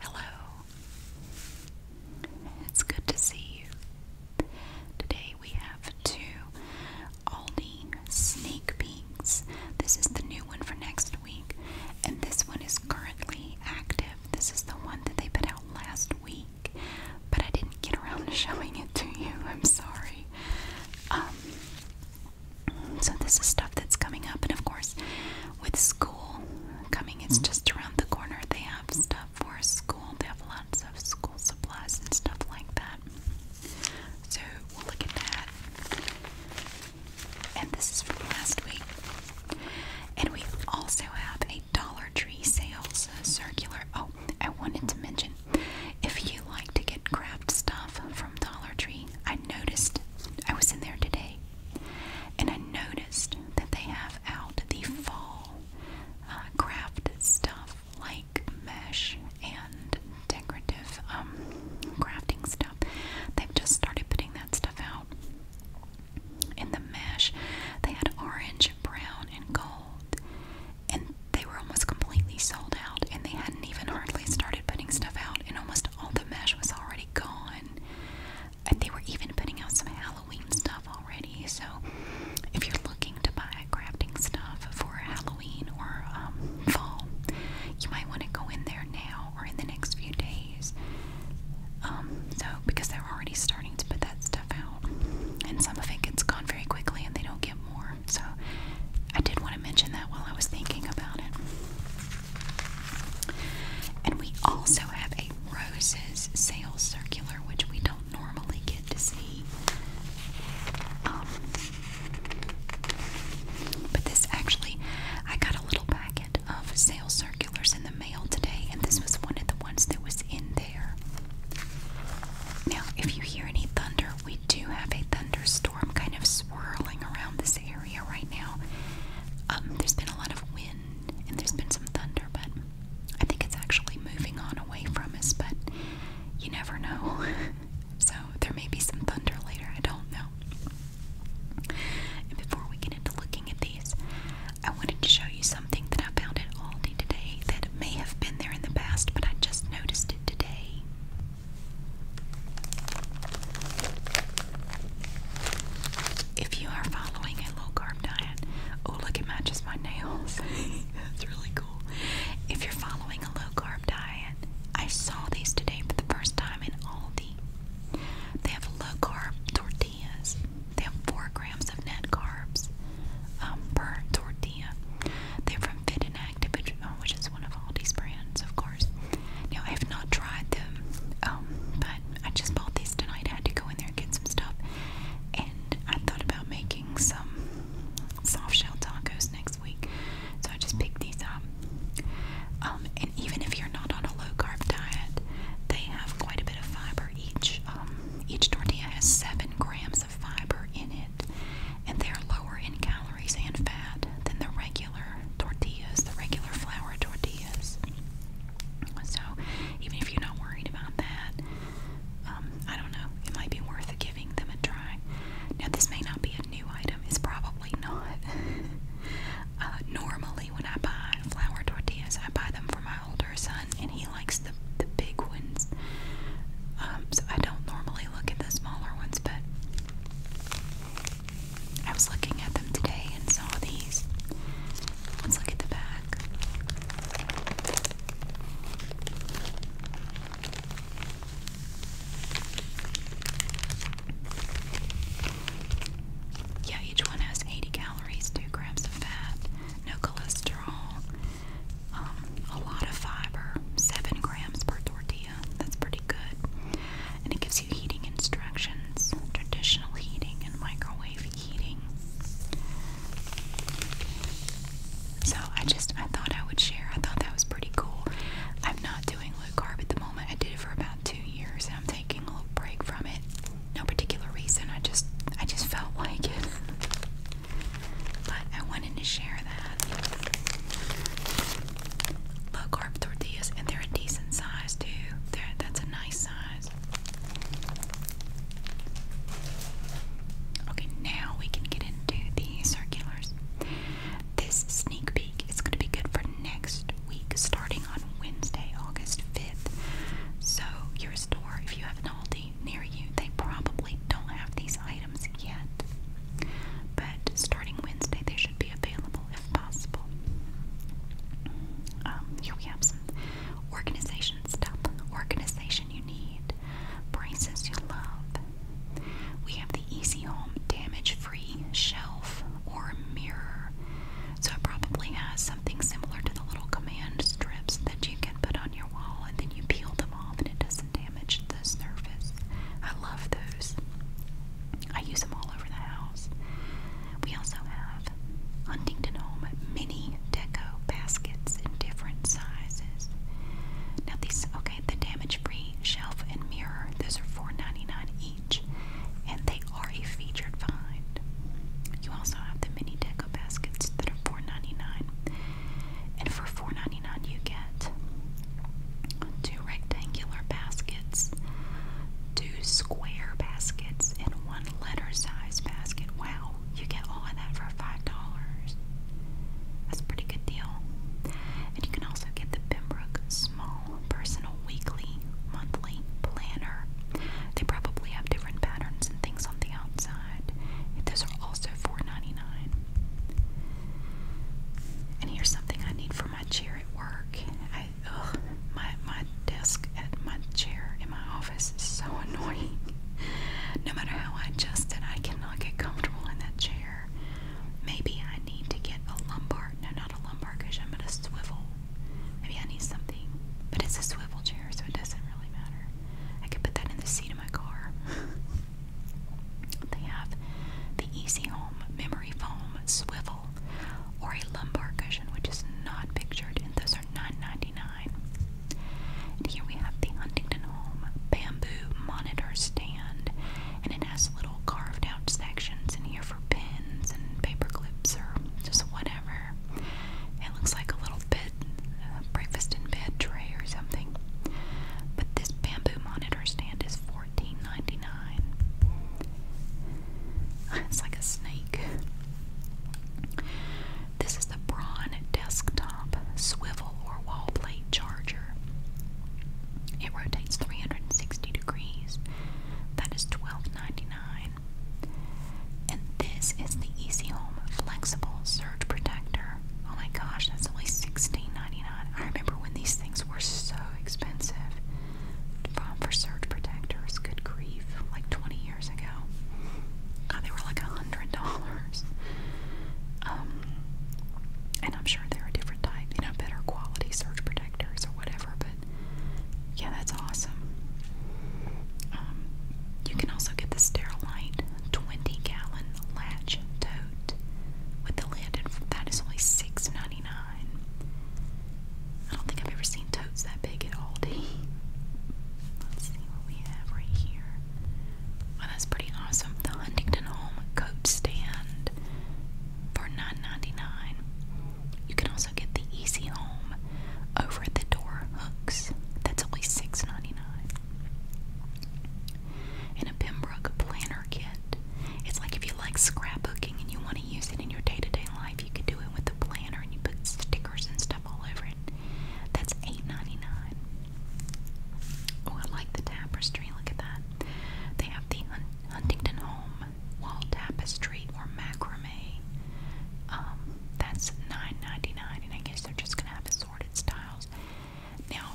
Hello. It's good to see you. Today we have two Aldi sneak peeks. This is the new one for next week, and this one is currently active. This is the one that they put out last week, but I didn't get around to showing it to you. I'm sorry. Um, so, this is stuff that's coming up, and of course, with school coming, it's mm-hmm. just around the corner. They have stuff for school, they have lots of school supplies and stuff like that. So, we'll look at that. And this is from last week. And we also have a Dollar Tree sales circular. Oh, I wanted to mention if you like to get craft stuff from Dollar Tree, I noticed I was in there today, and I noticed that they have out the fall uh, craft stuff like mesh and decorative um, crafting stuff. They've just started putting that stuff out. In the mesh, they had orange, brown, and gold, and they were almost completely sold out, and they hadn't even hardly started putting stuff out out, and almost all the mesh was already gone. And they were even putting out some Halloween stuff already. So, if you're looking to buy crafting stuff for Halloween or um, fall, you might want to go in there now or in the next few days. Um, so, because they're already starting to put that stuff out, and some of it gets gone very quickly, and they don't get more. So, I did want want to mention that while I was thinking about it. And we also have a roses sales circular, which we don't normally get to see. Um, but this actually, I got a little packet of sales circulars in the mail today, and this was one of the ones that was in there. Now, if you hear any thunder, we do have a thunderstorm kind of swirling around this area right now. Um, there's been a lot of wind and there's been some thunder, but I think it's actually moving on away from us, but you never know. so there may be some thunder later, I don't know. And before we get into looking at these, I wanted to show you something that I found at day today that may have been there in the past, but I just noticed it today. If you are following a low carb diet, oh look, it matches my nails. That's really cool. If you're following a low carb diet, I saw these today for the first time in Aldi. They have low carb tortillas. They have four grams of net carbs um, per tortilla. They're from Fit and Connect, which, oh, which is one of Aldi's brands, of course. Now, I have not tried them, um, but I just bought these tonight. I had to go in there and get some stuff. And I thought about making some soft shell tacos next week. So I just picked these up. Um, and even if you're not on a low carb diet, they have quite a bit of fiber each. Um, each tortilla has seven grams of fiber in it, and they're lower in calories and fat than the regular tortillas, the regular flour tortillas. So, even if you're not worried about that, um, I don't know, it might be worth giving them a try. Now, this may not be a new item, it's probably not. Uh, normally, when I buy flour tortillas, I buy them for my older son, and he likes the, the big ones. Um, so, I don't normally look at the smaller ones, but I was looking at them today and saw these. Let's look at the back. Yeah, each one has 80 calories, 2 grams of fat, no cholesterol, um, a lot of fiber, 7 grams per tortilla. That's pretty good. And it gives you heating instructions, traditional heating and microwave heating. So I just I thought I would share. I thought that was pretty cool. I'm not doing low carb at the moment. I did it for about two years and I'm taking a little break from it. No particular reason. I just I just felt like it. But I wanted to share Low carb tortillas, and they're a decent size too. that's a nice size. Okay, now we can get into the circulars. This sneak peek is going to be good for next week, starting on Wednesday, August 5th. So, your store, if you have an Aldi near you, they probably don't have these items items yet, but starting Wednesday they should be available if possible. Um, here we have some organization stuff. Organization you need, braces you love. We have the Easy Home damage free shelf or mirror. So it probably has something similar to the little command strips that you can put on your wall and then you peel them off and it does surface and damage the surface. I love those. I use them all over the house. We also have Huntington Home mini deco baskets in different sizes. Now these okay, the damage-free shelf and mirror, those are $4.99 each, and they are a featured find. You also have the mini deco baskets that are $4.99. And for $4.99 you get two rectangular baskets, two square baskets, and one letter size basket. Wow, you get all of that for $5. That's a pretty good deal. And you can also get the Pembroke Small Personal Weekly Monthly Planner. They probably have different patterns and things on the outside. Those are also $4.99. And here's something I need for my chair at work. my my desk at my chair in my office is so annoying. No matter how I adjust it, I cannot get comfortable in that chair. Maybe I need to get a lumbar. No, not a lumbar cushion, but a swivel. Maybe I need something. But it's a swivel chair, so it doesn't really matter. I could put that in the seat of my car. They have the Easy Home Memory Foam Swivel or a lumbar cushion, which is not pictured, and those are $9.99. And here we have the Huntington Home Bamboo Monitor Stand, and it has little carved out sections in here for pins and paper clips or just whatever. It looks like a little bed, uh, breakfast in bed tray or something. But this bamboo monitor stand is 14 it's like a snake. This is the Braun Desktop Swivel or Wall Plate Charger. It rotates 360 degrees. thats 12.99. And this is the Easy Home Flexible Surge Protector. Oh my gosh, that's only 16.99. I remember when these things were so expensive for surge protectors. Good grief, like 20 years ago. God, they were like $100. Um, and I'm sure there are different types, you know, better quality surge protectors or whatever, but yeah, that's awesome. Um, you can also get the Sterilite 20 gallon latch tote with the lid, that is only 6 I don't think I've ever seen totes that big at Aldi. Let's see what we have right here. Well, that's pretty awesome. The Huntington Home coat stand for 9 You can also get the Easy Home over at the door hooks. That's only $6.99 in a Pembroke planner kit. It's like if you like scrapbooking and you want to use it in your day to day life, you can do it with the planner and you put stickers and stuff all over it. That's 8 99 Oh, I like the tapestry. Look at that. They have the Huntington Home wall tapestry or macrame. Um, that's 9 99 and I guess they're just gonna have assorted styles. Now,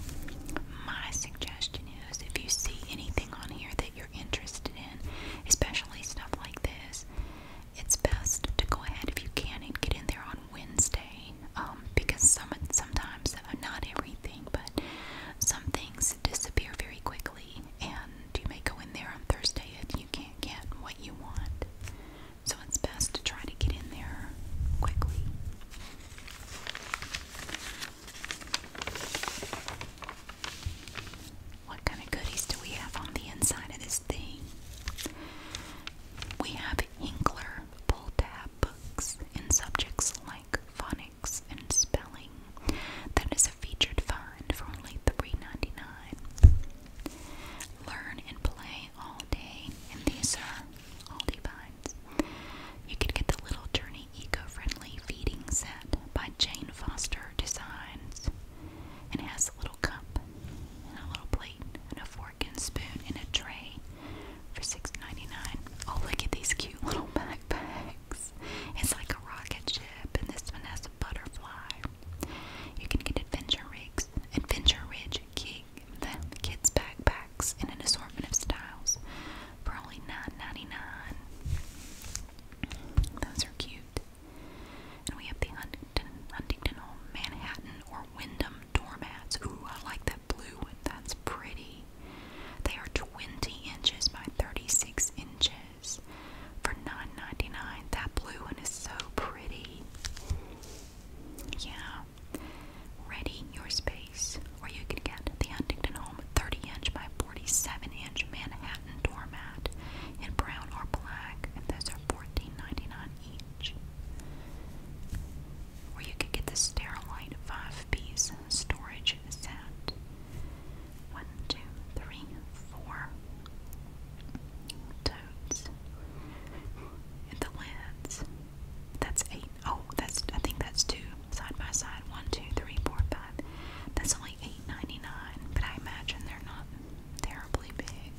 my suggestion news. If you see anything on here that you're interested in, especially stuff like this, it's best to go ahead if you can and get in there on Wednesday. Um, because some sometimes uh, not everything, but some things disappear very quickly, and you may go in there on Thursday and you can't get what you want. So it's best to try to get in there quickly. What kind of goodies do we have on the inside of this thing? We have Inkler pull tab books in subjects like phonics and spelling. That is a featured find for only $3.99. Learn and play all day, and these are all day You can get the little journey eco-friendly feeding set by Jane Foster Designs, and has a little cup and a little plate and a fork and spoon and a tray for $6.99. Oh, look at these cute little backpacks! It's like a rocket ship, and this one has a butterfly. You can get Adventure Rigs, Adventure Ridge, King, the kids' backpack packs in an assortment of styles for only 9 Those are cute. And we have the Huntington, Huntington Manhattan or Wyndham doormats. Ooh, I like that blue one. That's pretty. They are 20 inches by 36 inches for 9 That blue one is so pretty. Yeah. Ready your space, where you can get the Huntington Home 30 inch by 47 inch Manhattan doormat in brown or black, and those are $14.99 each. Where you can get the Sterilite 5 piece storage set. One, two, three, four totes. And the lids. That's 8 Oh, that's I think that's two side by side. One, two, three, four, five. That's only eight ninety nine, but I imagine they're not terribly big.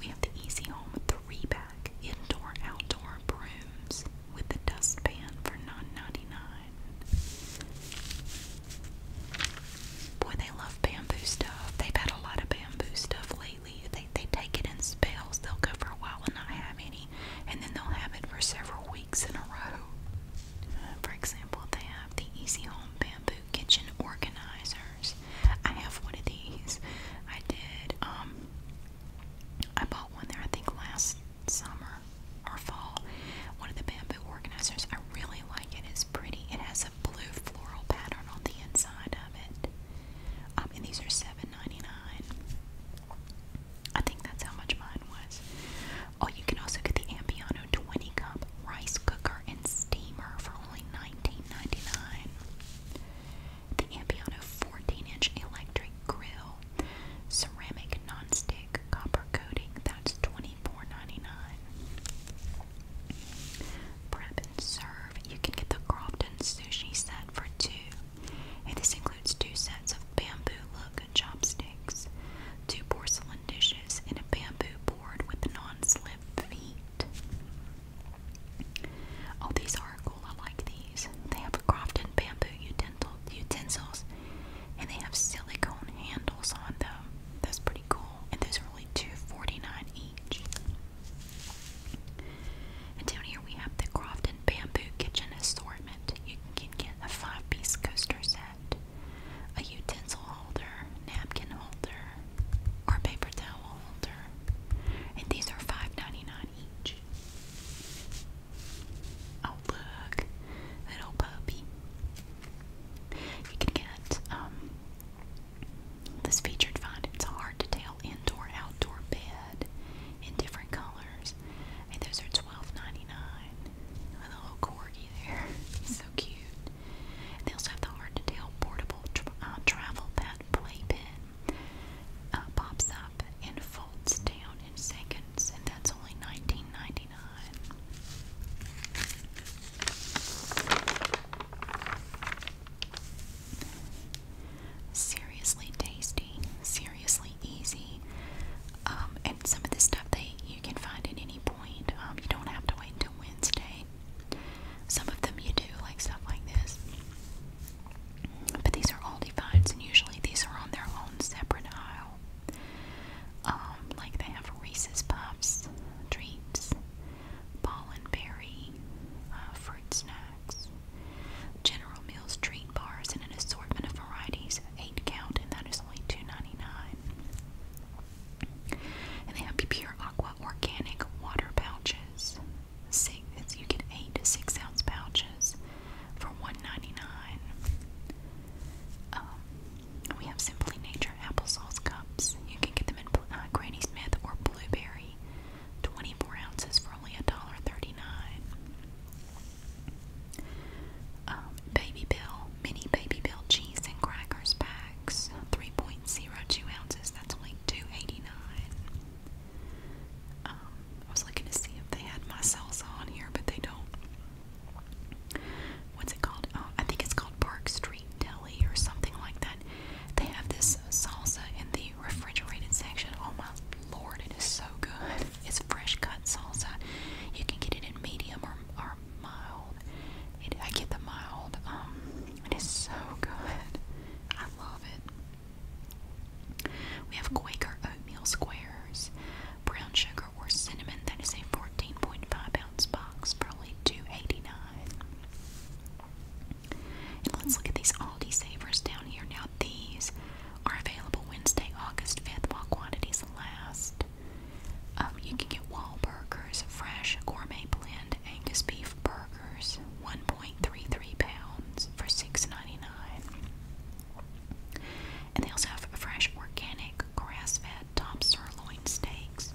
We have the Easy Home three pack indoor outdoor brooms with the dustpan for nine ninety nine. Boy, they love bamboo stuff. They've had a lot of bamboo stuff lately completely. They they take it in spells. They'll go for a while and not have any, and then they'll have it for several weeks in a row. Uh, for example, they have the Easy Home Bamboo Kitchen Organizers. I have one of these. I did. Um, I bought one there. I think last summer or fall. One of the bamboo organizers. I really like it. It's pretty. It has a blue floral pattern on the inside of it. Um, and these are $7.99. I think that's how much mine was. Oh, you can also get the Ambiano 20 cup rice cooker and steamer for only nineteen ninety nine. The Ambiano 14 inch electric grill, ceramic nonstick copper coating, that's twenty four ninety nine. Prep and serve. You can get the Crofton sushi set for two and this includes two sets of bamboo-look chopsticks, two porcelain dishes, and a bamboo board with non-slip feet. Oh, these are cool. I like these. They have a crafted bamboo utensils, and they have silicone handles on them. That's pretty cool. And those are only $2.49 each. And down here we have the Crofton Bamboo Kitchen Assortment. You can get a five piece coaster set, a utensil holder, napkin holder, or paper towel holder. And these are 5 each. Oh, look, that puppy. You can get um, this featured find. It's a hard to tell indoor outdoor bed in different colors. And those are twelve ninety nine. a little corgi there. so cute. they also have the hard to tell portable uh, travel pet playpen. Uh, pops up and folds down in seconds, and that's only nineteen ninety nine seriously tasty, seriously easy. Um, and some of the stuff that you can find at any point. Um, you don't have to wait until Wednesday. Some of them you do, like stuff like this. But these are all finds, and usually these are on their own separate aisle. Um, like they have Reese's Puffs, treats, ball and berry, uh, fruit snack. General Mills treat bars in an assortment of varieties, 8 count, and that is only $2.99. And they have Pure Aqua Organic Water Pouches. You can get 8 6 ounce pouches for $1.99. Um, we have Simply Nature Applesauce Cups. You can get them in uh, Granny Smith or Blueberry. 24 ounces for only $1.39. Um, Baby Bell, mini Baby Bell cheese and crackers packs, 3.02 ounces, that's only 2 dollars um, I was looking to see if they had my salsa on here, but they don't. What's it called? Oh, I think it's called Park Street Deli or something like that. They have this salsa in the refrigerated section. Oh my lord, it is so good. It's fresh cut salsa. You can get it in medium or, or mild. It, I get the mild. Um, it is so good. I love it. We have Quaker oatmeal squares, brown sugar or cinnamon. That is a 14.5 ounce box, probably 289 let's look at these Aldi Savers down here. Now, these are available Wednesday, August 5th, while quantities last. Um, you can get Wahlburgers, fresh gourmet blend Angus beef burgers, 1.33 pounds for $6.99. And they also have fresh organic grass-fed top sirloin steaks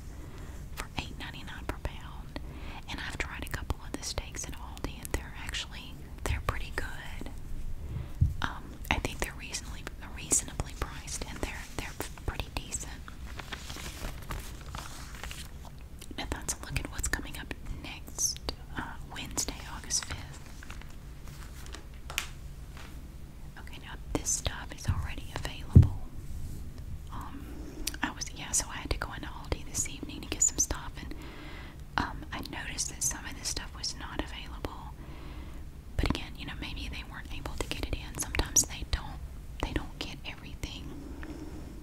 for $8.99 per pound. And I've tried a couple couple of the steaks at Aldi, and they're actually they're pretty good. Um, I think they're reasonably reasonably priced, and they're they're pretty decent. Now that's a look at what's coming up next uh, Wednesday, August fifth. Okay, now this stuff is already available. Um, I was yeah, so I had to go into Aldi this evening to get some stuff, and um, I noticed that some of this stuff was not available, but again, you know, maybe they weren't able to get it in. Sometimes they don't. They don't get everything,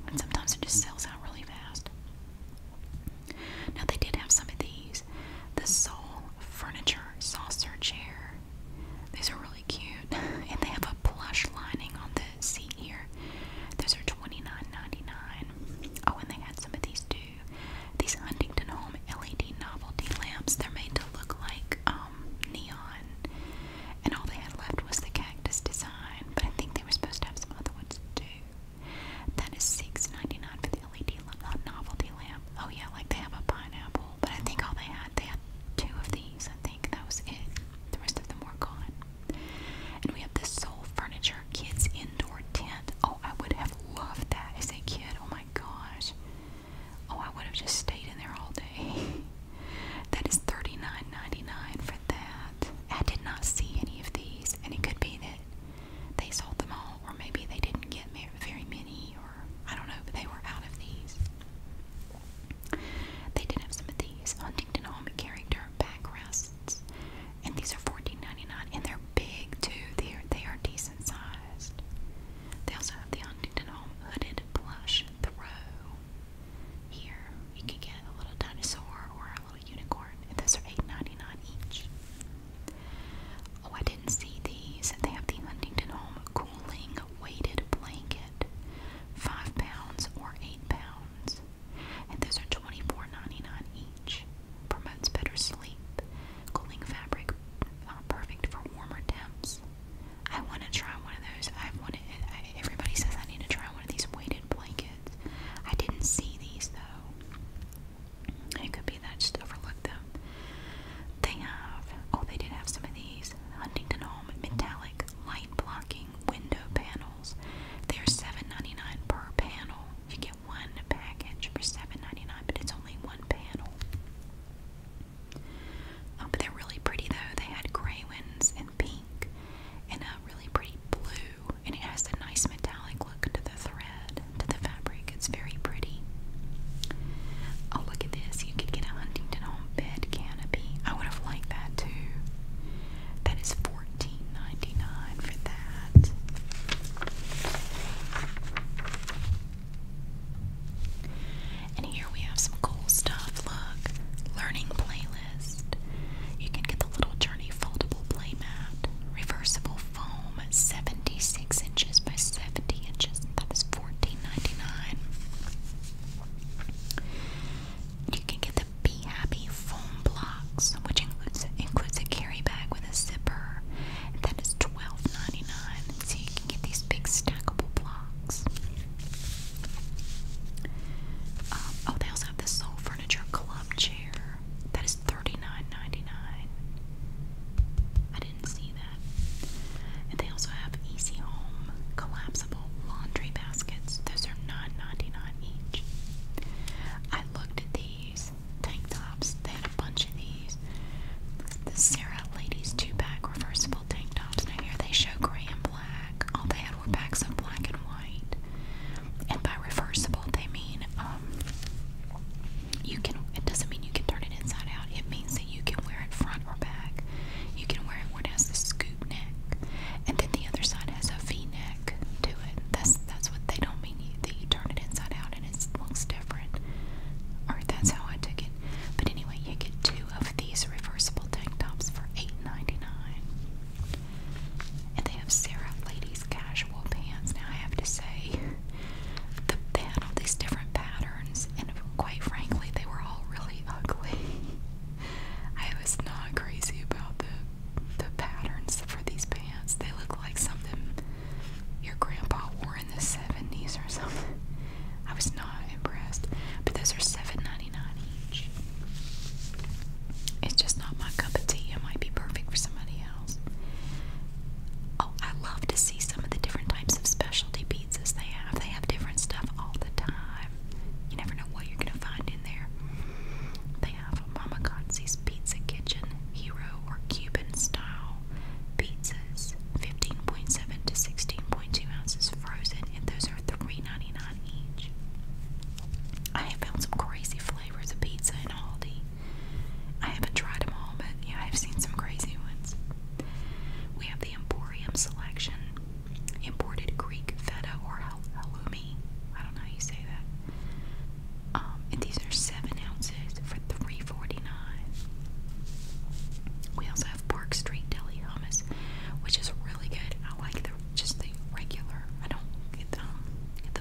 and sometimes it just sells out really fast. Now they did have some of these, the Sole Furniture Saucer Chair. These are really cute, and they have a plush lining on see here. Those are $29.99. Oh, and they had some of these too. These Huntington Home LED novelty lamps. They're made to look like um, neon. And all they had left was the cactus design. But I think they were supposed to have some other ones too. That is $6.99 for the LED uh, novelty lamp. Oh yeah, like they have a pineapple. But I think all they had, they had two of these. I think that was it. The rest of them were gone. And we have this Soul Furniture Kids Indoor Tent. Oh, I would have loved that as a kid. Oh my gosh. Oh, I would have just stayed in there all day. that is $39.99 for that. I did not see any of these, and it could be that they sold them all, or maybe they didn't get very many, or I don't know, but they were out of these. They did have some of these Huntington Home Character backrests. And these are fourteen ninety nine, dollars and they're big too. They are, decent sized. They also have the Huntington Home hooded plush throw. Here you can get a little dinosaur or a little unicorn, and those are eight ninety nine dollars each. Oh, I didn't see these. They have the Huntington Home cooling weighted blanket, five pounds or eight pounds and those are 24 each. Promotes better sleep, cooling fabric, uh, perfect for warmer temps. I want to try one of those. I've wanted. everybody says I need to try one of these weighted blankets. I didn't see these though. It could be that I just overlooked them. They have. Oh, they did have some of these. Huntington Home metallic light blocking hanging window panels. They are $7.99 per panel. You get one package for $7.99, but it's only one panel. Oh, but they're really pretty though. They had gray ones and pink and a really pretty blue, and it has a nice metallic look to the thread, to the fabric. It's very pretty. Oh, look at this. You could get a Huntington Home bed canopy. I would have liked that too. That is $4.99 14 for that. And here we have some cool stuff. Look, learning playlist. You can get the little Journey foldable playmat, reversible foam, 76 inches by 70 inches. that You can get the be Happy foam blocks, which includes includes a carry bag with a zipper. thats twelve ninety nine. So you can get these big stackable blocks. Um, oh, they also have the Soul Furniture Club chair. thats nine ninety nine. I didn't see that. And they also have Easy Home collapsible laundry baskets. Those are 9 99 each. I looked at these tank tops. They had a bunch of these. The Sarah Ladies two pack reversible tank tops. Now here they show gray and black. All they had were packs of black and white. And by reversible they mean um, you can it doesn't mean you can turn it inside out. It means that you can wear it front or back. You can wear it where it has the scoop neck. And then the other side has a V neck back to it. That's that's what they don't mean. You, that you turn it inside out and it looks different. Or that's how I took it. But anyway, you get two of these reversible tank tops for $8.99. And they have Sarah Ladies casual pants. Now I have to say, the pan all these different patterns, and quite frankly, they were all really ugly. I was not crazy about them the patterns for these pants. They look like something your grandpa wore in the 70s or something. I was not impressed. But those are $7.99 each. It's just not my cup of tea. It might be perfect for somebody else. Oh, I love to see some of the different types of specialty pizzas they have. They have different stuff all the time. You never know what you're going to find there. They have Mama Kotze's Pizza Kitchen Hero or Cuban style pizzas, 15.7 to 16.2 ounces frozen, and those are three ninety nine each. I have found some crazy flavors of pizza in Aldi. I haven't tried them all, but yeah, I've seen some crazy ones. We have the Emporium selection imported Greek feta or hal halloumi. I don't know how you say that. Um, and these are seven ounces for three forty nine. We also have Park Street Deli hummus, which is really good. I like the just the regular. I don't get the um,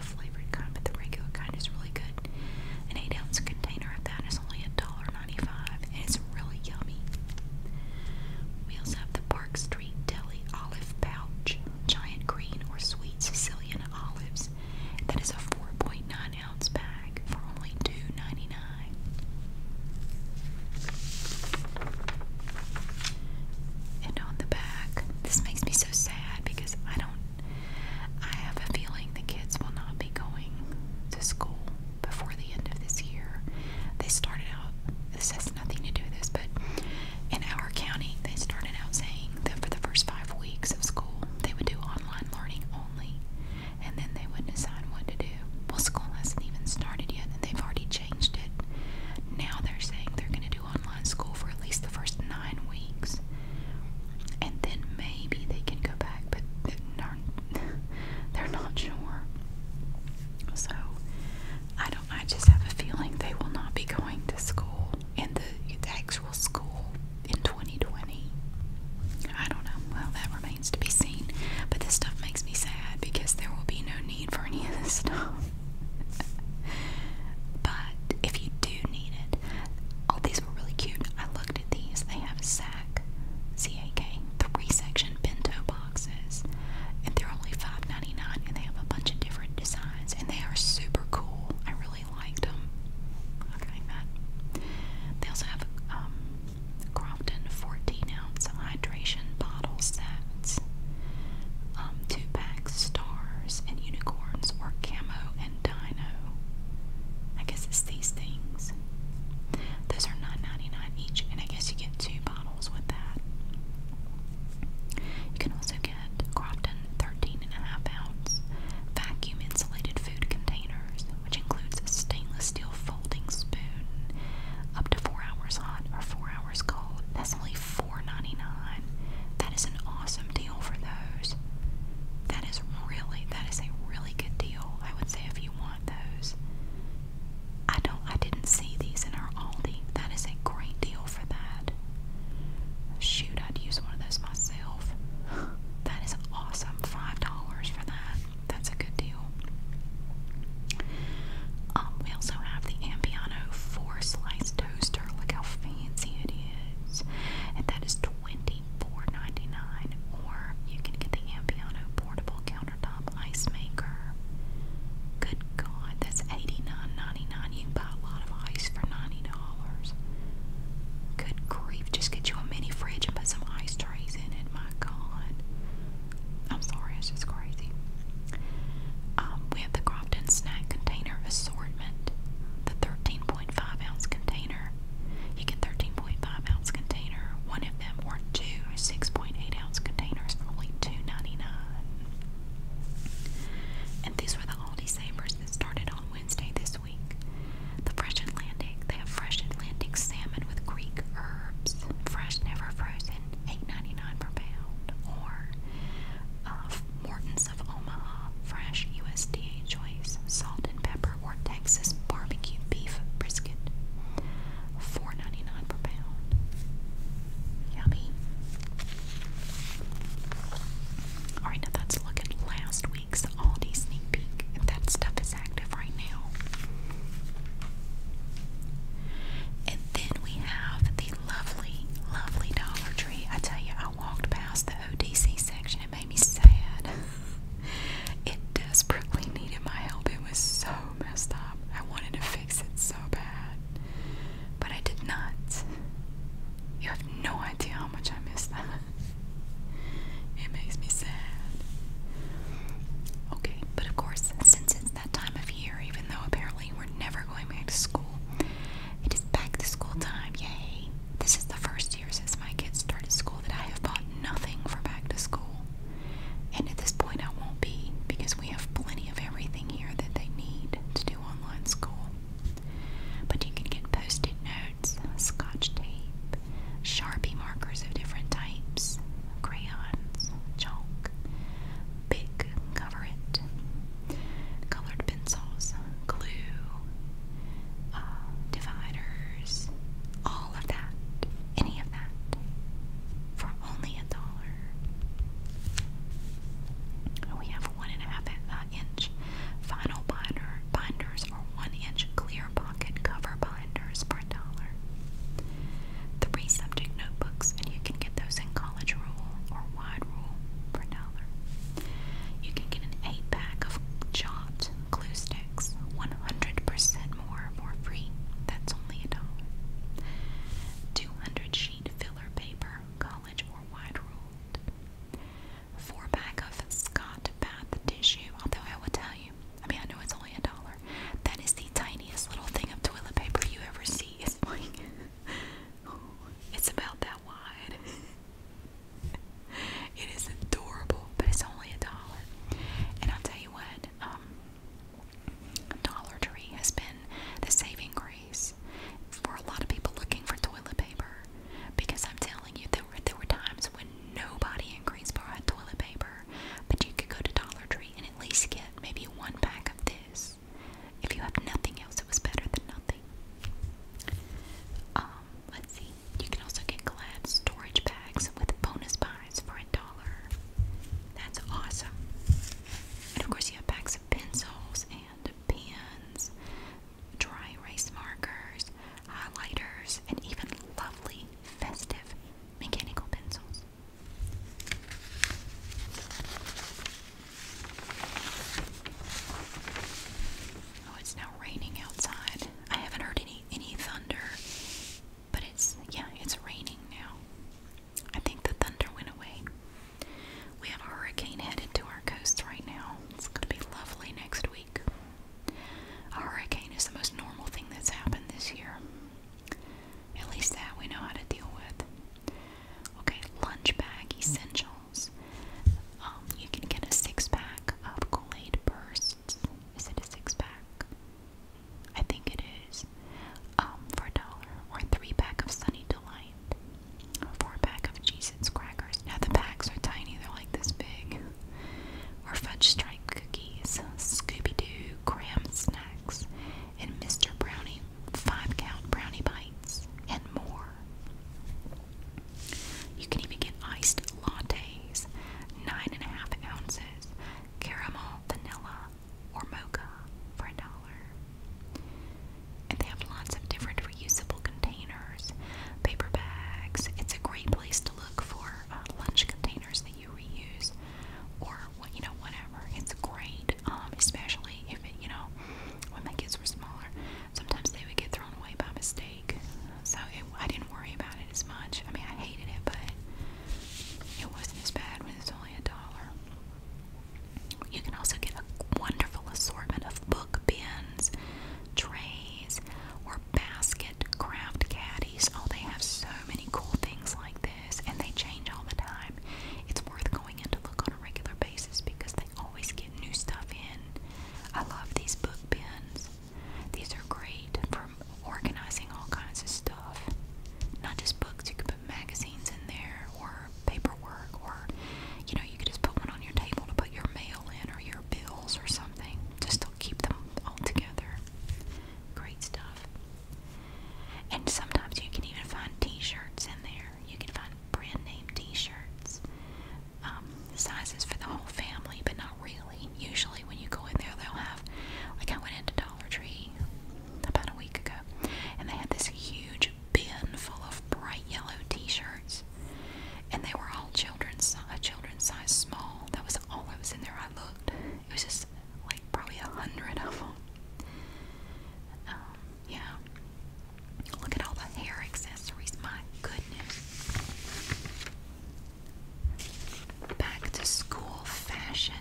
flavored kind, but the regular kind is really good. An eight ounce container of that is only a dollar ninety five, and it's really yummy. We also have the Park Street Deli Olive Pouch, giant green or sweet Sicilian olives. That is a 4.9 ounce bag for only $2.99. And on the back, this makes me so sad because I don't. I have a feeling the kids will not be going to school before the end of this year. They started out, has nothing to do with this, but in our county, they started out saying that for the first five weeks of school, they would do online learning only, and then they would decide what to do. Well, school hasn't even started yet, and they've already changed it. Now they're saying they're going to do online school for at least the first nine weeks, and then maybe they can go back, but they're not, they're not sure. So I don't I just have a feeling they will not be going to school in the, actual school in 2020. I don't know. Well, that remains to be seen. But this stuff makes me sad because there will be no need for any of this stuff. but if you do need it, all these were really cute. I looked at these. They have a sack, C A K, three section bento box boxes, and they're only $5.99, and they have a bunch of different designs, and they are super cool. I really liked them. Okay, that. They also have um, Crofton 14 ounce hydration bottle sets, um, two pack stars and unicorns, or camo and dino. I guess it's these things. Those are $9.99 each, and I guess you get two bottles with that. You can also get Crofton 13.5 ounce vacuum insulated food containers, which includes a stainless steel folding spoon, up to 4 hours hot or 4 hours cold. That's only $4.99. That is an awesome deal for those. That is really, that is a really good deal, I would say, if you want those. I don't I didn't see these in our Aldi. That is a great deal for that. Shoot, I'd use one of those myself. That is awesome. Five dollars for that. That's a good deal. Um, we also have the Ampiano four slice toaster. Look how fancy it is. And that Or you can get the Ampiano portable counter countertop ice maker. Good God, that's $89.99. You can buy a lot of ice for $90. Good grief, just get you a mini fridge and put some ice trays in it. My God. I'm sorry, it's just crazy. Um, we have the Crofton Snack Container Assortment, the 13.5 ounce container. You get 13.5 ounce container, one of them or two 6.8 ounce containers for only $2.99. And these were the Aldi Savers that started on Wednesday this week. The Fresh Atlantic, they have Fresh Atlantic salmon with Greek herbs, fresh, never frozen, $8.99 per pound. Or uh, Morton's of Omaha, fresh USDA choice, salt and pepper, or Texas barbecue beef brisket. 4 per pound. Yummy. Alright, now that's looking last week's Aldi sneak peek. that stuff is active right now. And then we have the lovely, lovely Dollar Tree. I tell you, I walked past the ODC section. It made me sad. it desperately needed my help. It was so messed up. I wanted to fix fix it so bad. But I did not. You have no idea how much I miss that. It makes me sad. Okay, but of course, since it's that time of year, even though apparently we're never going back to school, it is back to school time. Yay! This is the first year since my kids started school that I have bought nothing for back to school. And at this point, I won't be because we have plenty of everything here that they need to do online school. But you can get post it notes, scotch tape, Sharpie markers of different types, crayons, chalk, big cover it, colored pencils, glue, uh, dividers, all of that, any of that, for only only dollar. We have one and a half uh, inch vinyl binder binders or one inch clear pocket cover binders for a dollar. Three subject notebooks, and you can get those in college rule or wide rule for a dollar. You can get an eight pack of chopped glue sticks, 100% more for free. That's only a dollar. 200 sheet filler paper, college or wide ruled. Four pack of Scott bath tissue, although I will tell you, I mean, I know it's only a dollar. That is the tiniest little thing of toilet paper you ever see. It's about that wide. it is adorable, but it's only a dollar. And I'll tell you what, um, Dollar Tree has been the saving grace for a lot of people looking for toilet paper because I'm telling you, there were, there were times when nobody in Greensboro had toilet paper, but you could go to Dollar Tree and at least get maybe one pack of this. If you have nothing else, it was better than nothing. Um, let's see. You can also get Glad storage bags with bonus buy for a dollar. That's awesome. And of course, you have packs of pencils and pens, dry erase markers, highlighters, and even lovely festive mechanical pencils. Oh, it's now raining outside. I haven't heard any any thunder but it's, yeah, it's raining now. I think the thunder went away. We have a hurricane headed to our coast right now. It's going to be lovely next week. A hurricane is the most normal thing that's happened this year. At least that we know how to deal with. Okay, lunch bag essentials. Um, you can get a six pack of Kool Aid bursts. Is it a six pack? I think it is, um, for a dollar, or three pack of Sunny Delight, or four pack of cheez crackers. Now the packs are tiny, they're like this big. Or fudge stripe cookies, Scooby-Doo graham snacks, and Mr. Brownie five count brownie bites, and more. You can even get iced lattes, nine and a half ounces, caramel, vanilla, or mocha for a dollar. And they have lots of different reusable containers, paper bags. It's a great place to look for uh, lunch containers that you reuse, or what you know, whatever. It's great, um, especially if it, you know, when my kids were smaller. Sometimes they would get thrown away by mistake, so it, I didn't worry about it as much. I mean, I hated it, but it wasn't as bad when it was on only a dollar. You can also get a wonderful assortment of book bins, trays, or basket craft caddies. Oh, they have so many cool things like this, and they change all the time. It's worth going in to look on a regular basis because they always get new stuff in. I love these book bins. These are great for for organizing all kinds of stuff. Not just books, you could put magazines in there or paperwork or you know, you could just put one on your table to put your mail in or your bills or something. Just to keep them all together. Great stuff. And sometimes you can even find t-shirts in there. You can find brand name t-shirts. Um, sizes for the whole family, but not really. Usually when you go in there they'll have like I went into about a week ago, and they had this huge bin full of bright yellow T-shirts, and they were all children's size small. That was all that was in there. I looked. It was just like probably a hundred of them. Um, yeah. Look at all the hair accessories. My goodness. Back to school fashion.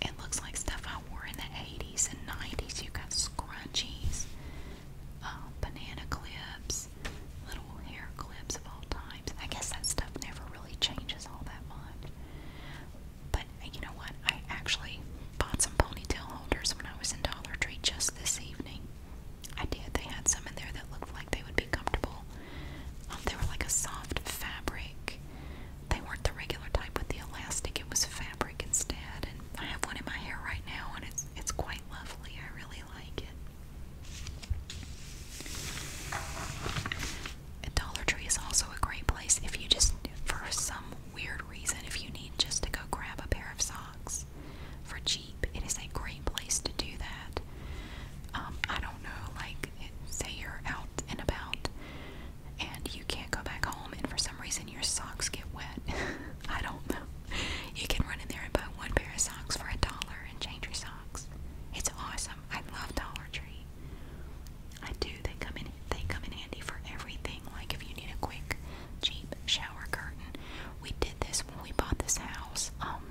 It looks like stuff I wore in the 80s and 90s. You got scrunchies, uh, banana clips, little hair clips of all types. I guess that stuff never really changes all that much. But uh, you know what? I actually bought some ponytail holders when I was in Dollar Tree just this evening. I did. They had some in there that looked like they would be comfortable um, they were like a soft fabric. They weren't the regular type with the elastic. It was fabric instead. And I have one in my hair right now, and it's it's quite lovely. I really like it. Dollar Tree is also a great place if you just, for some weird reason, if you need just to go grab a pair of socks for cheap. It is a great place to do that. Um, I don't know, like say you're out and about and you can't go back home and for some reason your socks get wet. I don't know. You can run in there and buy one pair of socks for a dollar and change your socks. It's awesome. I love Dollar Tree. I do. They come in they come in handy for everything. Like if you need a quick cheap shower curtain. We did this when we bought this house. Um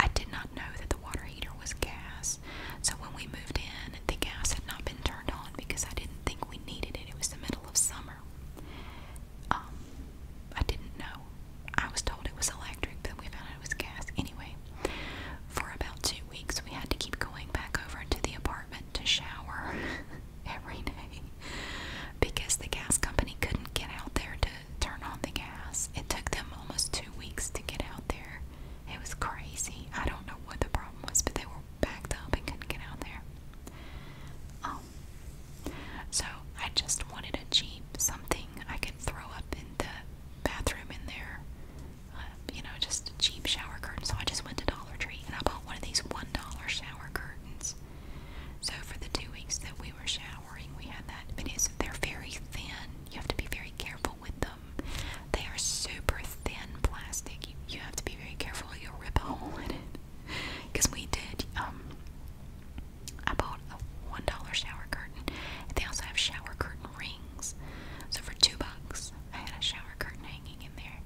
I did not know that the water heater was gas, so when we moved in, the gas had not been turned on because I didn't think we needed it. It was the middle of summer. Um, I didn't know. I was told it was electric, but we found out it was gas. Anyway, for about two weeks, we had to keep going back over to the apartment to shower every day because the gas company couldn't get out there to turn on the gas. It took them almost two weeks to get out there. It was crazy. I don't know what the problem was, but they were backed up and couldn't get out there. Um, so I just wanted a Jeep, something I could throw up in the bathroom in there. Uh, you know, just a cheap shower curtain. So I just went to Dollar Tree and I bought one of these $1 shower curtains. So for the two weeks that we were showering, we had that, but it's they're very thin. You have to be very careful with them. They are super thin plastic. You, have to be very careful. You'll rip a hole in it. Because we did. Um, I bought a one dollar shower curtain. they also have shower curtain rings. So for two bucks, I had a shower curtain hanging in there.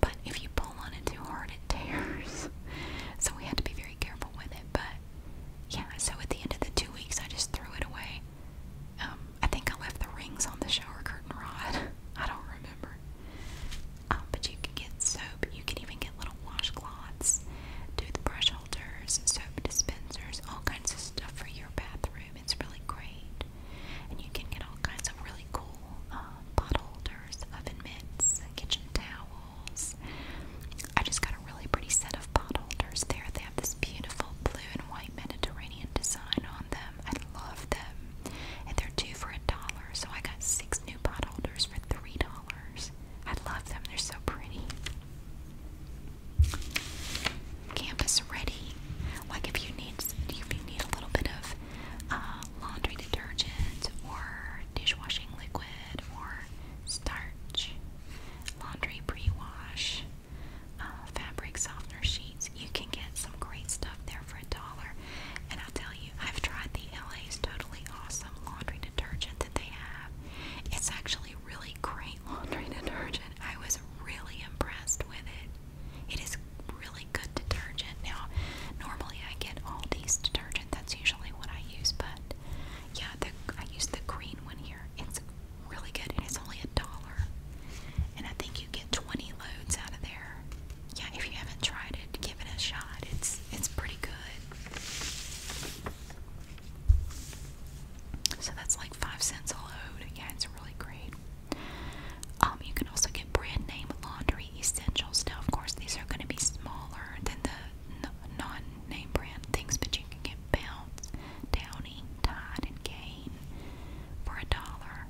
But if you pull on it too hard, it tears. So we had to be very careful with it. But yeah, so at the end of the two weeks, I just threw it away. Um, I think I left the rings on the shower curtain rod. I don't remember. Um, but you can get soap. You can even get little washcloths, toothbrush holders, soap dispensers, all kinds of stuff for your bathroom. It's really great. And you can get all kinds of really cool um, holders, oven mitts, kitchen towels. I just got a a really pretty set of pot holders there. They have this beautiful blue and white Mediterranean design on them. I love them. And they're two for a dollar, so I got six new pot holders for three dollars. I love them, they're so pretty. Campus ready. Like if you need if you need a little bit of uh, laundry detergent or dishwashing liquid or starch laundry pre-wash, uh, fabric softener sheets. You can get some great stuff there for a dollar. And I'll tell you, I've tried the LA's Totally Awesome laundry detergent that they have. It's actually really great laundry detergent. I was really impressed with it. It is really good detergent. Now, normally I get all these detergent. That's usually what I use, but yeah, the, I use the green one here. It's really good and it's only a dollar. And I think you get 20 loads out of there. Yeah, if you haven't tried it, give it a shot. It's it's pretty good. So that's like five cents a load. Yeah, it's really great. Um, you can also get brand name laundry essentials. Now, of course, these are going to be smaller than the non-name brand things, but you can get Bounce, Downy, Tide, and Gain for a dollar.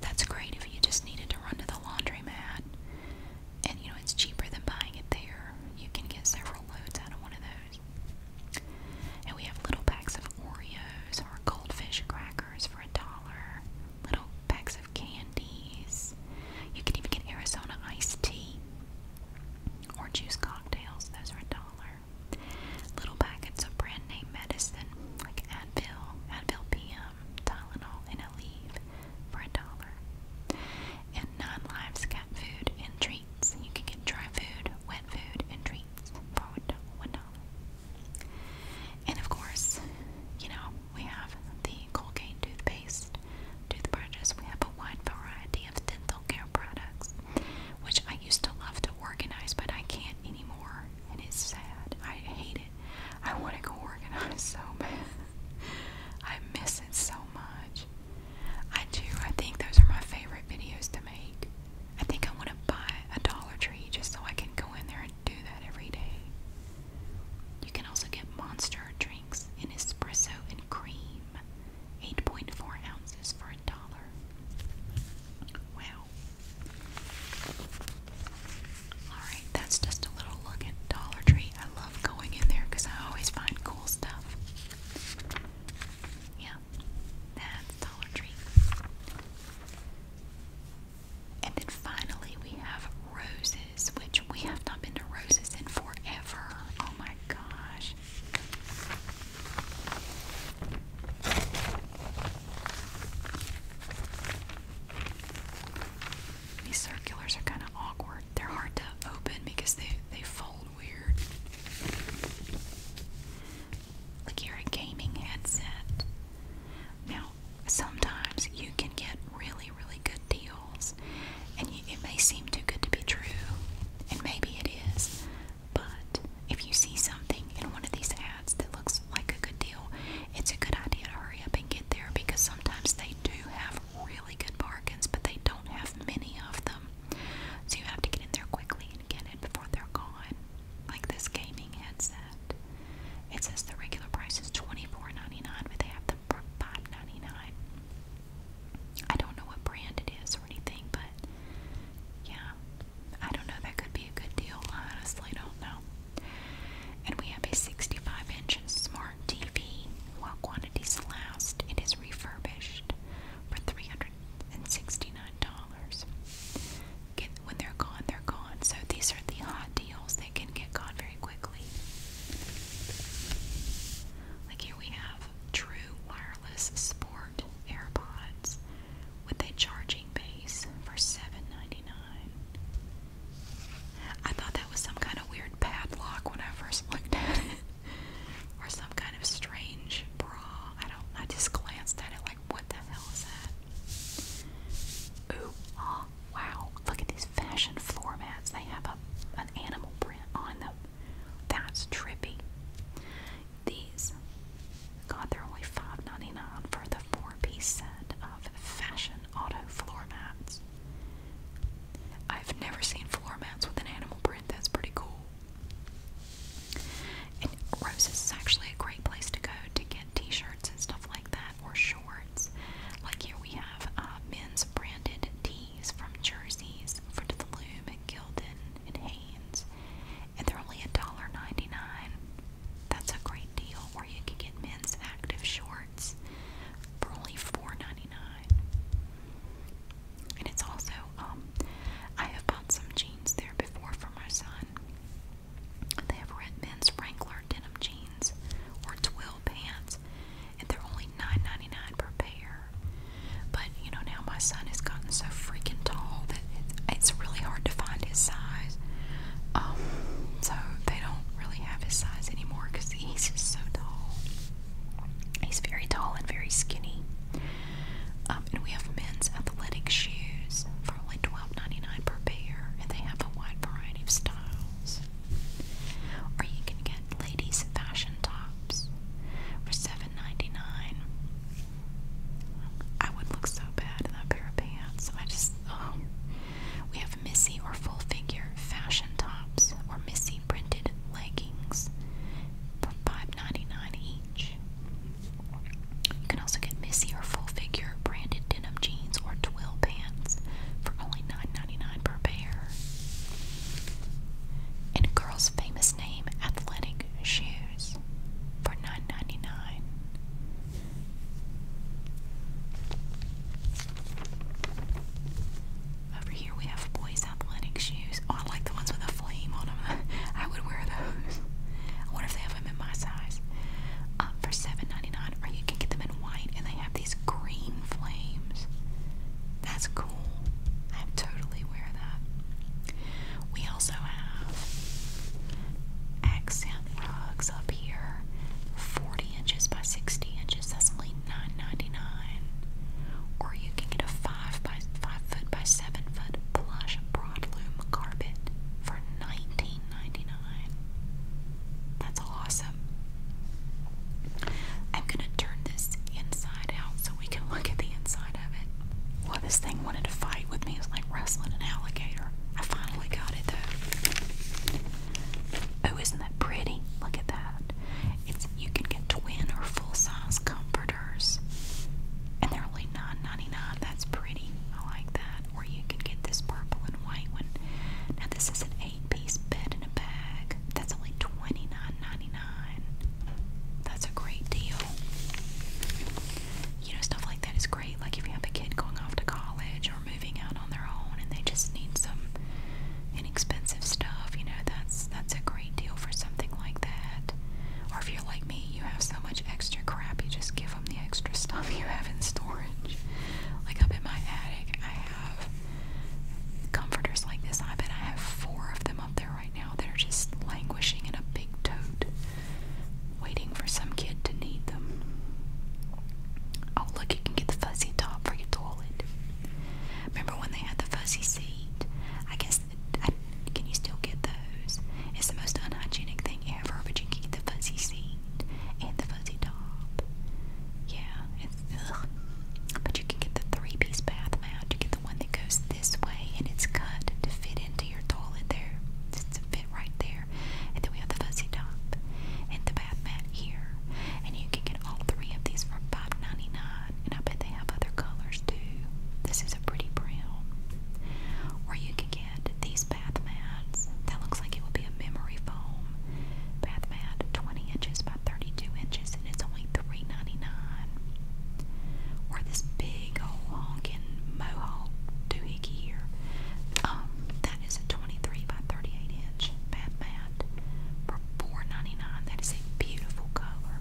That's great if you just needed to run to the laundromat, and you know it's cheaper than buying it there. You can get several loads out of one of those. And we have little packs of Oreos or Goldfish crackers for a dollar. Little packs of candies. You can even get Arizona iced tea or juice cocktails, those are a dollar. Little packets of brand name medicine like Advil, Advil PM, Tylenol, and Aleve for a dollar. And Nine Lives cat food and treats. You can get dry food, wet food, and treats for one dollar. And of course, you know, we have the Colgate toothpaste, toothbrushes. We have a wide variety of dental care hair products, which I used to love to organize, but I can't anymore, and it's sad. I hate it. I want to go organize so bad. I miss it so much. I do. I think those are my favorite videos to make. I think I want to buy a Dollar Tree just so I can go in there and do that every day. You can also get monster drinks in espresso and cream. 8.4 ounces for a dollar. Wow. Alright, that's just a little look at Dollar Tree. I love going in there because I always find cool stuff. Yeah, that's Dollar Tree. And then finally, we have roses, which we have not been to roses in forever. Oh my gosh. These circulars are kind of awkward. They're hard to open because they they fold weird. Like you a gaming headset. Now, sometimes you can get really, really good deals sales. And you, it may seem too good to be true, and maybe it is, but if you see something in one of these ads that looks like a good deal, it's a good idea to hurry up and get there because sometimes they do have really good bargains, but they don't have many of them. So you have to get in there quickly and get it before they're gone. Like this gaming headset. It says the regular price is $24.99, but they have them for $5.99. I don't know what brand it is or anything, but yeah, I don't know. That could be a good deal. I honestly don't know. And we have a 65 inch smart TV. While quantities last, it is refurbished for $369. when they're gone, they're gone. So these are the hot deals. They can get gone very quickly. Like we have true wireless sport AirPods with a charging base for 7 I thought that was some kind of weird padlock when I first looked at it. or some kind of strange bra. I don't I just glanced at it like what the hell is that? Ooh, oh wow. Look at these fashion floor mats. They have a an animal print on them. That's trippy. These, God, they're only 5 for the four-piece set of fashion auto floor mats. I've never seen floor mats with an animal print. That's pretty cool. Roses is actually a great place to go to get t-shirts and stuff like that, or shorts. Like here we have uh, men's branded t from Jersey's from the Loom at Gildan and Haynes, and they're only $1.99. That's a great deal. Where you can get men's active shorts for only $4.99. And it's also, um, I have bought some jeans there before for my son. They have red men's Wrangler denim jeans or twill pants and they're only $9.99 per pair. But you know, now my son has gotten so freaking tall that it's really hard to find his size. Um, so they don't really have his size anymore because he's just so tall. He's very tall and very skinny. Um, and we have men's athletic shoes for only $12.99 per pair, and they have a wide variety of styles. Or you can get ladies fashion tops for $7.99. I would look so bad in that pair of pants. I just, oh. We have Missy or full figure fashion tops or Missy printed leggings for 5 each. You can also get Missy or full figure branded denim jeans or twill pants for only 9 per pair and girl's famous name athletic shoes for 9 Over here we have boys' athletic shoes. Oh, I like the ones with a flame on them. I would wear those. I if they have them in my size. Um, for 7 or you can get them in white and they have these green flames. That's cool. I'm totally aware that. We also have accent rugs up here. 40 inches by 60 inches. That's only 9 Or you can get a 5 by 5 foot by 7 foot plush broadloom carpet for 19 That's awesome. I'm gonna turn this inside out so we can look at the inside of it. Well, this thing wanted to fight with me. It's like wrestling an alligator. I finally got it though. Oh, isn't that pretty? Look at that. It's you can get twin or full size comforters, and they're only 9 That's pretty. I like that. Or you can get this purple and white one. Now this is an eight piece bed in a bag. That's only $29.99. That's a great deal. You know, stuff like that is great. Like if you have a kid going off to college or moving out on their own and they just need some inexpensive stuff, you know, that's that's a great deal for something like that. Or if you're like me, you have so much extra crap, you just give them the extra stuff you have in storage. Like up in my attic, I comforters like this. I bet I have four of them up there right now they are just languishing in a big tote, waiting for some kid to need them. Oh, look, you can get the fuzzy top for your toilet. Remember when they had the fuzzy seat? I guess, can you still get those? It's the most unhygienic thing ever, but you can get the fuzzy seat and the fuzzy top. Yeah, Ugh. But you can get the three piece bath mat. You get the one that goes this way and it's cut to fit into your toilet there. It's a fit right there. And then we have the fuzzy top and the bath mat here. And you can get all three of these for $5.99. And I bet they have other colors too. This is a pretty brown. Or you can get these bath mats. That looks like it would be a memory foam home. Bathmat 20 inches by 32 inches, and it's only 3 Or this big old honking mohawk doohickey here. Um, that is a 23 by 38 inch bath mat for 4 is a beautiful color.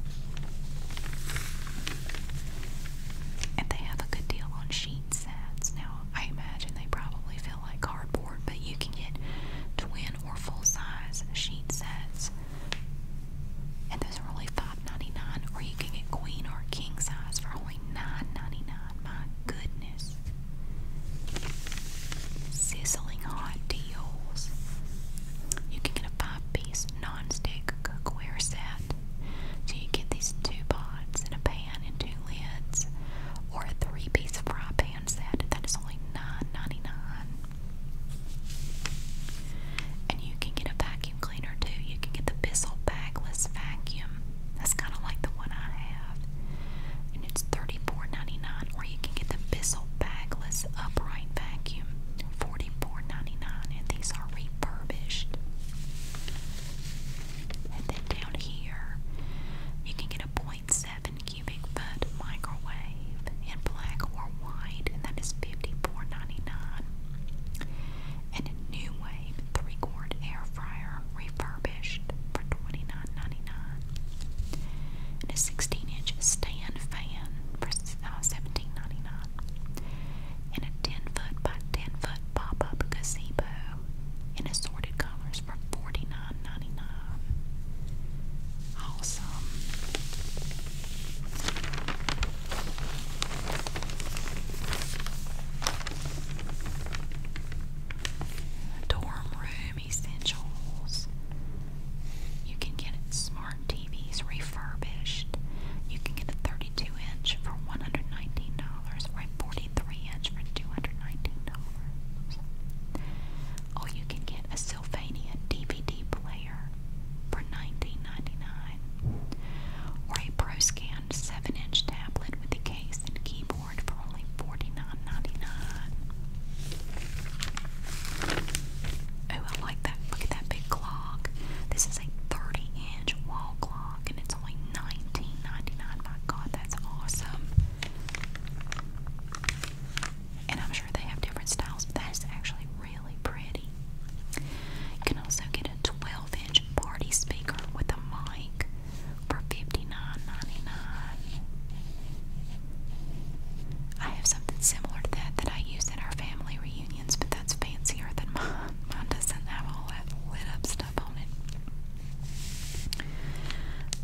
And they have a good deal on sheet sets. Now, I imagine they probably feel like cardboard, but you can get twin or full-size sheet sets. And those are only 5 or you can get queen or king size for only 9 My goodness. Sizzling hot deals. You can get a five-piece non cookware set. So you get these two pots and a pan and two lids, or a three-piece fry pan that is only 9 And you can get a vacuum cleaner too. You can get the Bissell bagless vacuum. That's kind of like the one I have. And it's thirty four ninety nine. Or you can get the Bissell bagless upright vacuum. 44 And these are refurbished. And then down here, you can get a Boy 1.7 cubic foot microwave in black or white, and that is $54.99. And a new wave three quart air fryer refurbished for $29.99. And a 16 inch stand fan for uh, $17.99. And a 10 foot by 10 foot pop up gazebo in assorted colors strips for 49 Awesome. Dorm room essentials. You can get smart TVs refurbished. You can get a 32 inch for $119 or a 43 inch for $219. Or you can get a Pennsylvania DVD player for $19.99, or a ProScan 7 inch tablet with a case and keyboard for only $49.99. Oh, I like that. Look at that big clock. This is a 30 inch wall clock and it's only $19.99. My god, that's awesome. And I'm sure they have different styles, but that is actually really pretty. You can also get a 12 inch party speaker with a mic for 59 I have something similar to that that I use at our family reunions, but that's fancier than mine. Mine doesn't have all that lit up stuff on it.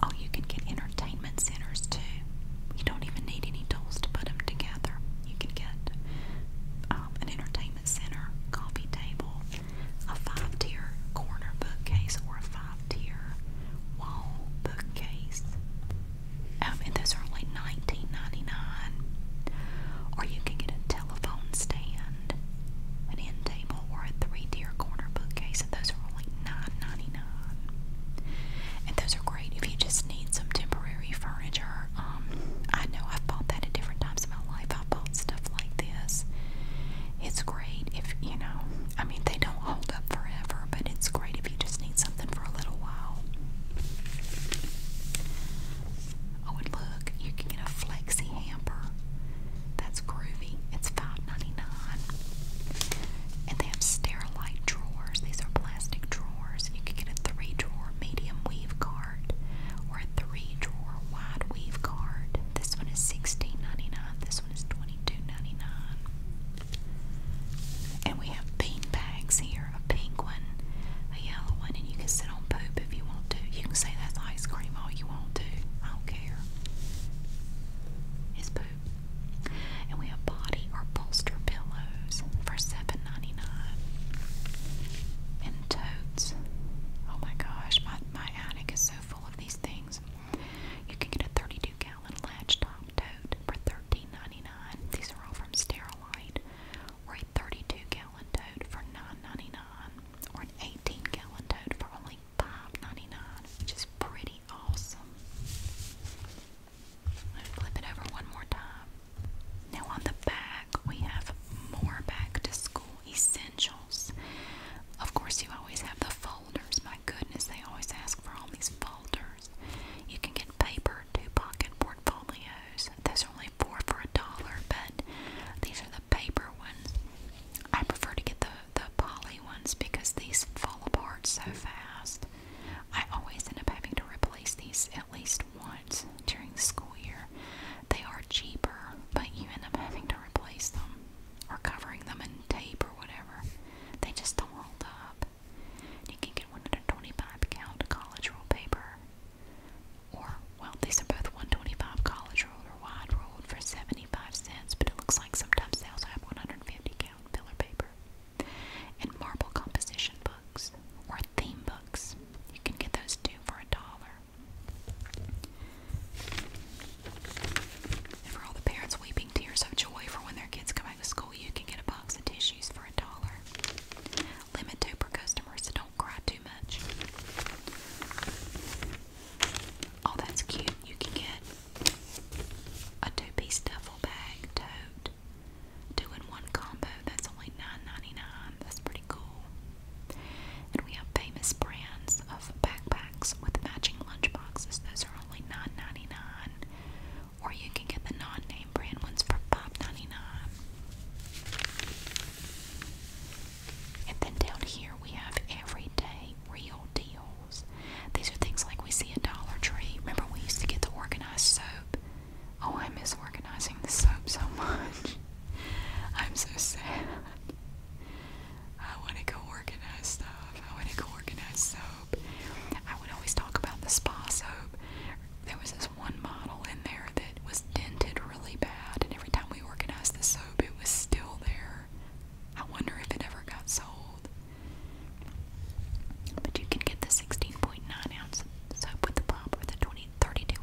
Oh, you can get entertainment centers too. You don't even need any tools to put them together. You can get um, an entertainment center coffee table, a five-tier corner bookcase, or a five-tier wall bookcase. Um, and those are only $19.99. Or you can get a telephone stand, an end table, or a three-tier corner bookcase, and those are only $9.99 on. And those are great if you just need some temporary furniture. Um, I know I've bought that at different times in my life. I've bought stuff like this. It's great if, you know, I mean, they don't hold up forever, but it's great if you just need something for a little while. Oh, and look, you can get a flexi hamper. That's groovy. It's $5 99 And they have sterilite drawers. These are plastic drawers. You can get a three drawer medium weave card or a three drawer wide weave card. This one is $16.99. This one is $22.99. And we have pink bags here, a pink one, a yellow one, and you can sit on poop if you want to. You can say that's ice cream all you want to. I don't care. It's poop. And we have body or bolster pillows for 7 And totes. Oh my gosh, my, my attic is so full of these things. You can get a 32 gallon latch top tote for $13.99. These are all from Sterilite. Or a 32 gallon tote for $9.99. Or an 18 gallon tote for only 5 99 which is pretty awesome. I'm flip it over one more time. Now on the back, we have more back to school essentials. Of course, you always have the folders. My goodness, they always ask for all these folders. You can get paper, two pocket portfolios. Those are only four for a dollar, but these are the paper ones. I prefer to get the the poly ones because these fall apart so fast. I always end up having to replace these at least once during the school year. They are cheaper, but you end up having to replace them or covering them in tape or whatever. They just don't hold up. You can get one at a 25 count college roll paper. Or, well, these are both 125 college rolled or wide rolled for 75 cents, but it looks like sometimes they'll have 150 count filler paper, and marble composition books or theme books. You can get those two for a dollar. And for all the parents weeping tears of joy for when their kids come back to school, you can get a box of tissues for a dollar. Limit two per customer, so don't cry too much. Oh, that's cute. You can get a two-piece duffel bag tote, two-in-one combo. That's only nine ninety nine. That's pretty cool. And we have famous brands of backpacks with matching lunch boxes. Those are only nine ninety nine. Or you can get the non-name brand ones for 5 And then down here we have everyday real deal. These are things like we see at Dollar Tree. Remember, we used to get the organized soap. Oh, I miss organizing the soap so much. I'm so sad. I want to go organize soap. I want to go organize soap. I would always talk about the spa soap. There was this one model in there that was dented really bad, and every time we organized the soap, it was still there. I wonder if it ever got sold. But you can get the 16.9 ounce soap with the pump or the 20,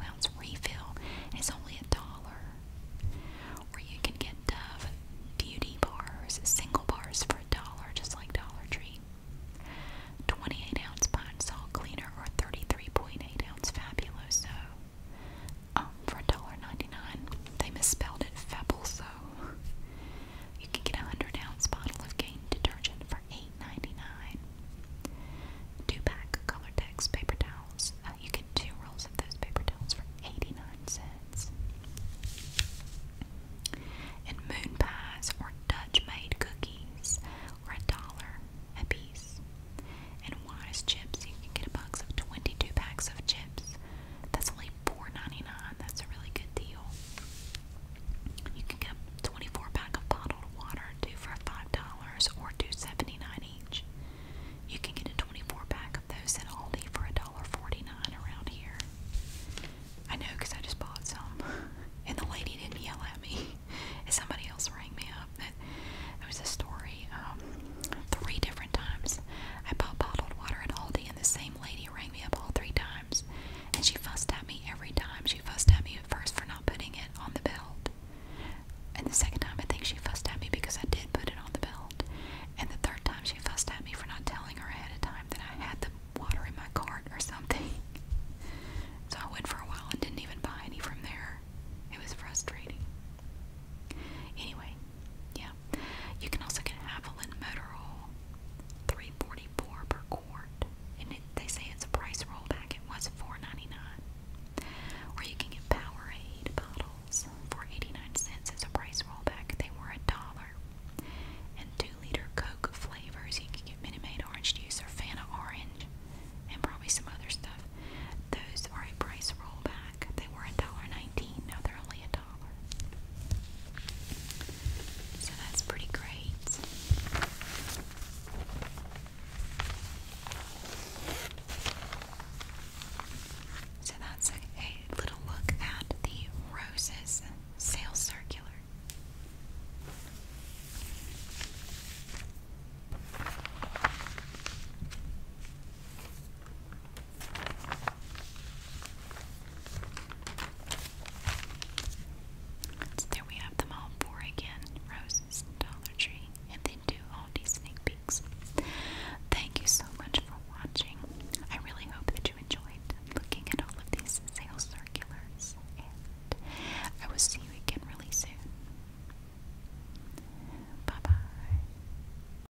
ounce refill. It's only a dollar. Or you can get Dove Beauty Bars, single bars for a dollar, just like Dollar Tree. 28 ounce pine salt cleaner or 33.8 ounce fabuloso. Oh, out for $1.99. They misspelled it Febbles though. You can get a 100 ounce bottle of Gain detergent for 8 2 pack Colortex paper towels. Uh, you get two rolls of those paper towels for 89 cents. And moon pies or Dutch made cookies are a dollar a piece. And wise chips, you can get a box of 22 packs of chips. That's only only That's a really good deal. You can get a 24 pack of bottled water, two for $5 or $2.79 each. You can get a 24 pack of those at Aldi for $1.49 around here. I know because I just bought some. And the lady didn't yell at me. somebody else rang me up. That it was a story um, three different times. I bought bottled water at Aldi, and the same lady rang me up all three times. And she fussed at me every time. She fussed at me at first for not putting it on the belt. And the second time, I think she fussed at me because I did put it on the belt. And the third time, she fussed at me for not telling her ahead of time that I had the water in my cart or something. so I went for a while and didn't even buy any from there. It was frustrating. Anyway, yeah. You can also get Haviland motor oil, three forty four per quart, and it, they say it's a price rollback. It was four ninety nine. Or you can get Powerade bottles for eighty nine cents as a price rollback. They were a dollar. And two liter Coke flavors. You can get Minute Maid orange juice or Fanta orange, and probably some other stuff. Those are a price rollback. They were a dollar nineteen. Now they're only a so that's pretty great. So that's a little look at the roses sales circular there we have them all four again. Roses, Dollar Tree, and then two Aldi sneak peeks. Thank you so much for watching. I really hope that you enjoyed looking at all of these sales circulars, and I will see you again really soon. Bye bye.